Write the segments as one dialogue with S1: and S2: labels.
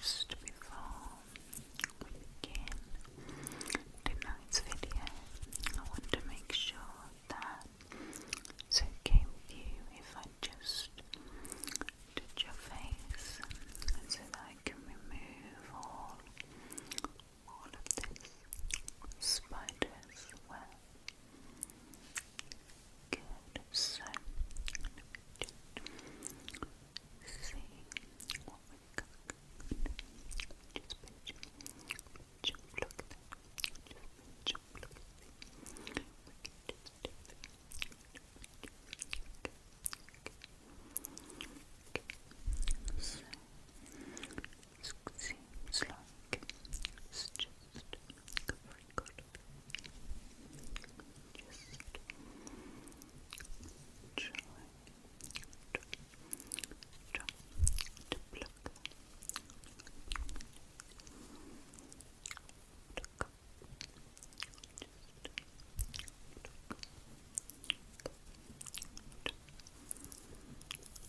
S1: Just before we begin tonight's video, I want to make sure that it's okay with you if I just touch your face so that I can remove all, all of this spider's web. Good. So just see what we've Just pinch, pinch, look at that. Just look at that. just do So seems like it's just covering Just try, try, try to pluck, pluck,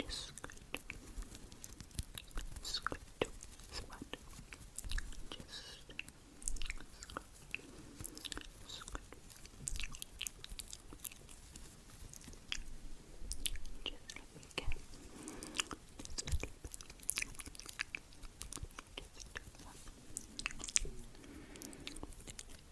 S1: Just scratch, scratch, scratch. Just scratch, scratch. Just let me get just a little bit. Just do that. Just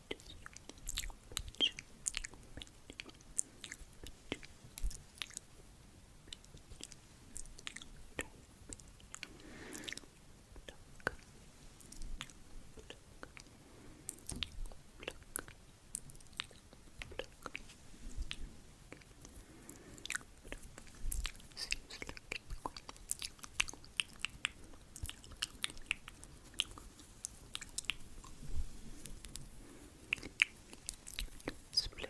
S1: Seems like Split. Split.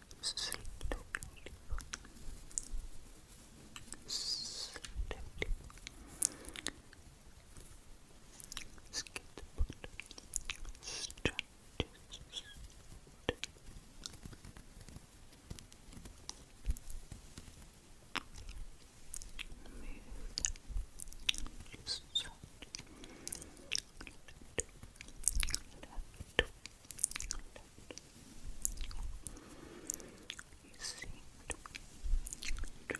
S1: Sleep deeply. Sleep deeply. Skip strategies. You seem to be attracted to them. Good.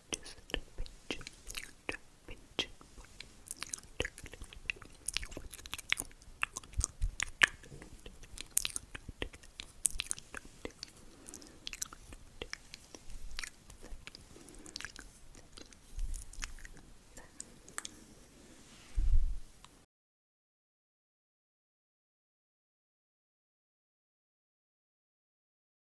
S1: Just a little pinch. Just a pinch. Just a little bit.